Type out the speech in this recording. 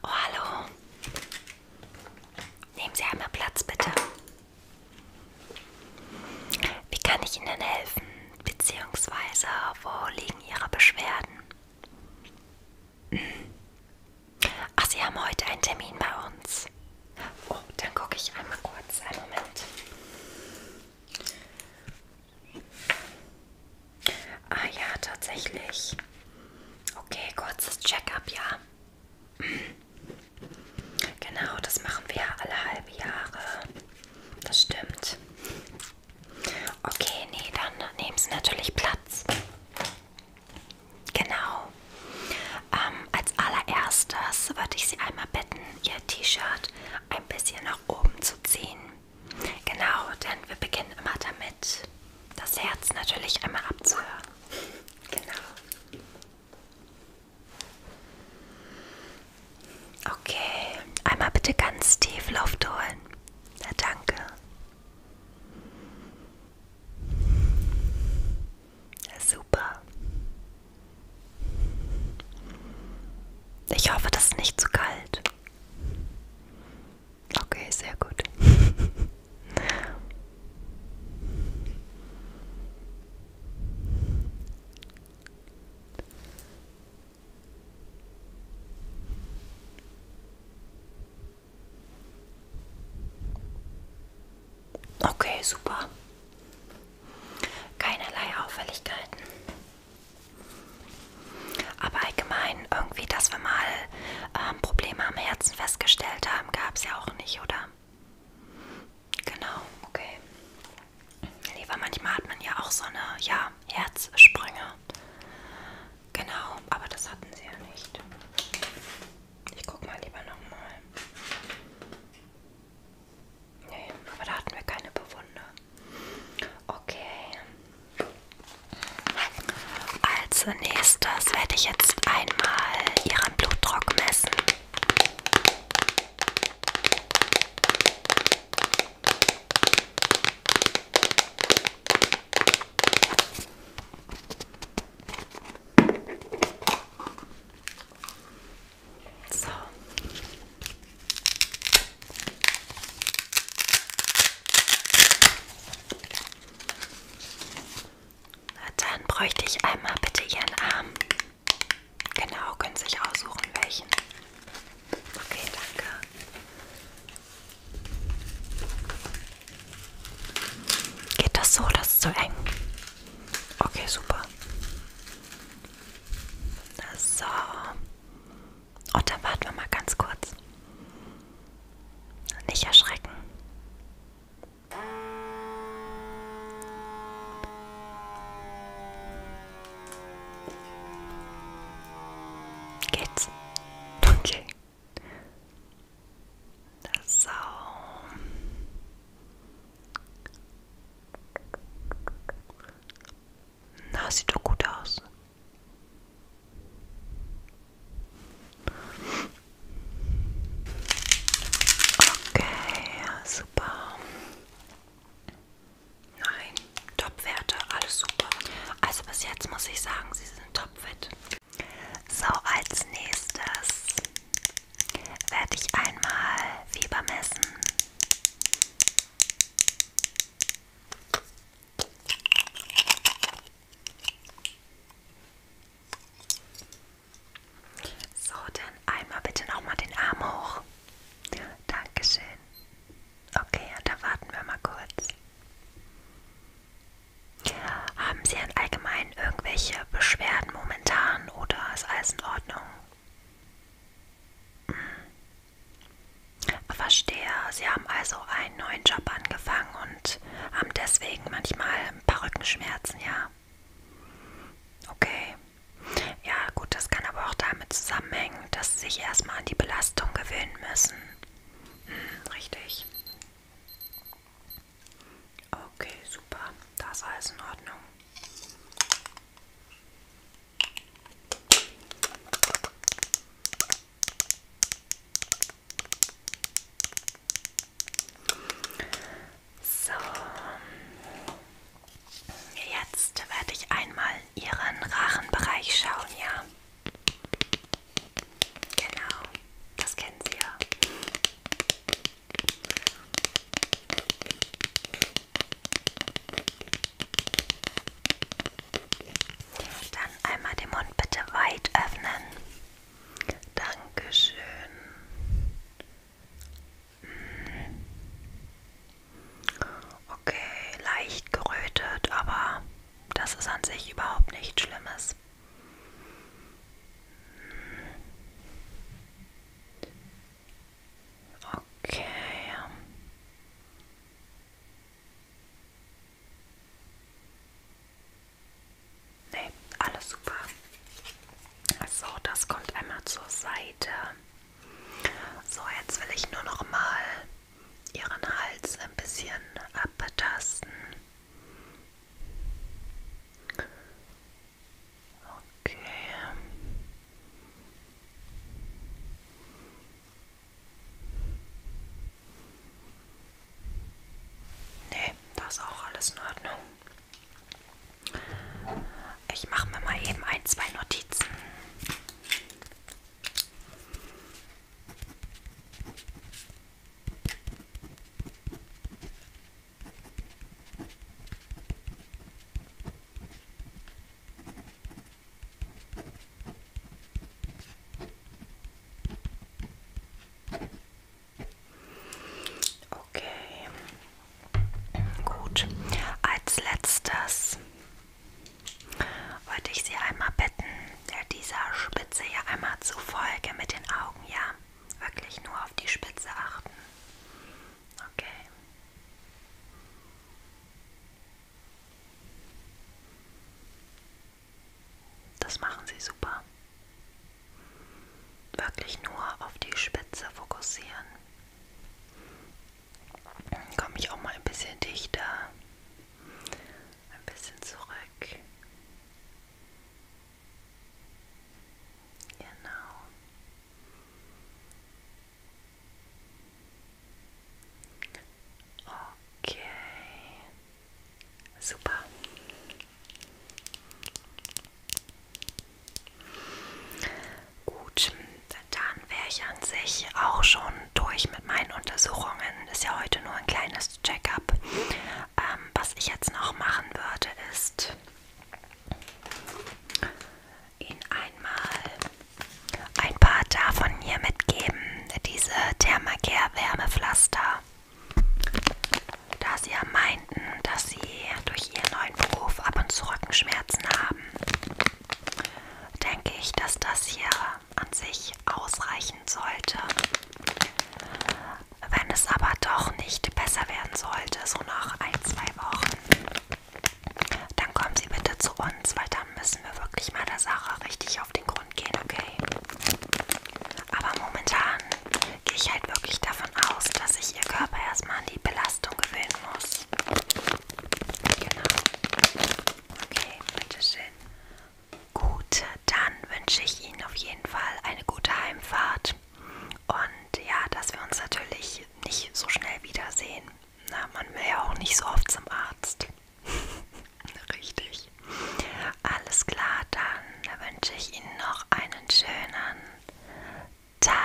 Oh, hallo. Nehmen Sie einmal Platz, bitte. Wie kann ich Ihnen helfen? Beziehungsweise, wo liegen Ihre Beschwerden? Ach, Sie haben heute einen Termin bei uns. Oh, dann gucke ich einmal kurz. Einen Moment. Ah ja, tatsächlich. Okay, kurzes Check-up, ja. Genau, das machen wir alle halbe Jahre. Das stimmt. Okay, nee, dann nehmen Sie natürlich Platz. Genau. Ähm, als allererstes würde ich Sie einmal bitten, Ihr T-Shirt ein bisschen nach oben zu ziehen. Genau, denn wir beginnen immer damit, das Herz natürlich einmal abzuhören. Genau. Okay, einmal bitte ganz tief Luft holen. Na danke. Ja, super. Ich hoffe, das ist nicht zu kalt. Okay, sehr gut. Okay, super. Keinerlei Auffälligkeiten. Aber allgemein irgendwie, dass wir mal ähm, Probleme am Herzen festgestellt haben, gab es ja auch nicht, oder? Genau, okay. Nee, weil manchmal hat man ja auch so eine, ja, Herzsprünge. Genau, aber das hatten sie ja nicht. Ich guck mal lieber nochmal. Nee, aber da hatten wir keine Bewunder. Okay. Als nächstes werde ich jetzt einmal ihren Blutdruck messen. So. Dann bräuchte ich einmal bitte Ihren Arm. Genau, können sich aussuchen, welchen. Okay, danke. Geht das so, das ist zu eng? Okay, super. So. Und dann warten wir mal ganz kurz. Nicht erschrecken. Geht's? Okay. So. Na, sieht doch gut aus. Okay, also super. Nein, Top-Werte, alles super. Also bis jetzt muss ich sagen, sie sind topfit. So, als nächstes werde ich einmal Fieber messen. So, dann einmal bitte nochmal den Arm hoch. Dankeschön. Okay, und da warten wir mal kurz. Haben Sie denn allgemein irgendwelche Beschwerden momentan oder ist alles in Ordnung? Hm. Verstehe, Sie haben also einen neuen Job angefangen und haben deswegen manchmal ein paar Rückenschmerzen, ja. Okay. Ja, gut, das kann aber auch damit zusammenhängen, dass sie sich erstmal an die Belastung gewöhnen müssen. Hm, richtig. Okay, super. Das ist alles in Ordnung. So, jetzt werde ich einmal Ihren Rachenbereich schauen, ja. Genau, das kennen Sie ja. Dann einmal den Mund bitte weit öffnen. Dankeschön. Hm. Okay, leicht gerötet, aber das ist an sich überhaupt nichts Schlimmes. Hm. Okay. Nee, alles super. So, das kommt einmal zur Seite. So, jetzt will ich nur noch mal ihren Hals ein bisschen abtasten. Okay. Nee, das ist auch alles in Ordnung. Ich mache mir mal eben ein, zwei Notizen. Okay, gut. Als letztes wollte ich Sie einmal bitten, ja, dieser Spitze hier einmal zu Folge mit den Augen, ja? Wirklich nur auf die Spitze achten. Okay. Das machen Sie super. Wirklich nur auf die Spitze fokussieren. Dann komme ich auch mal ein bisschen dichter. Ein bisschen zurück. Genau. Okay, super. Gut, dann wäre ich an sich auch schon durch mit meinen Untersuchungen. Ist ja heute nur ein kleines Check-up. Ähm, was ich jetzt noch machen würde, ist Ihnen einmal ein paar davon hier mitgeben, diese Thermacare Wärmepflaster, da sie ja meinten, dass sie durch ihren neuen Beruf ab und zu Rückenschmerzen haben. Denke ich, dass das hier an sich ausreichen sollte. Wenn es aber doch nicht besser werden sollte, so nach ein, zwei Wochen, dann kommen Sie bitte zu uns, weil dann müssen wir wirklich mal der Sache richtig auf den Grund gehen, okay? Aber momentan gehe ich halt wirklich davon aus, dass sich Ihr Körper erstmal an die Belastung gewöhnen muss. Genau. Okay, bitteschön. Gut, dann wünsche ich Ihnen auf jeden Fall eine gute Heimfahrt. Und ja, dass wir uns natürlich nicht so schnell wiedersehen. Na, man will ja auch nicht so oft zum Arzt. Richtig. Alles klar, dann wünsche ich Ihnen noch einen schönen Tag.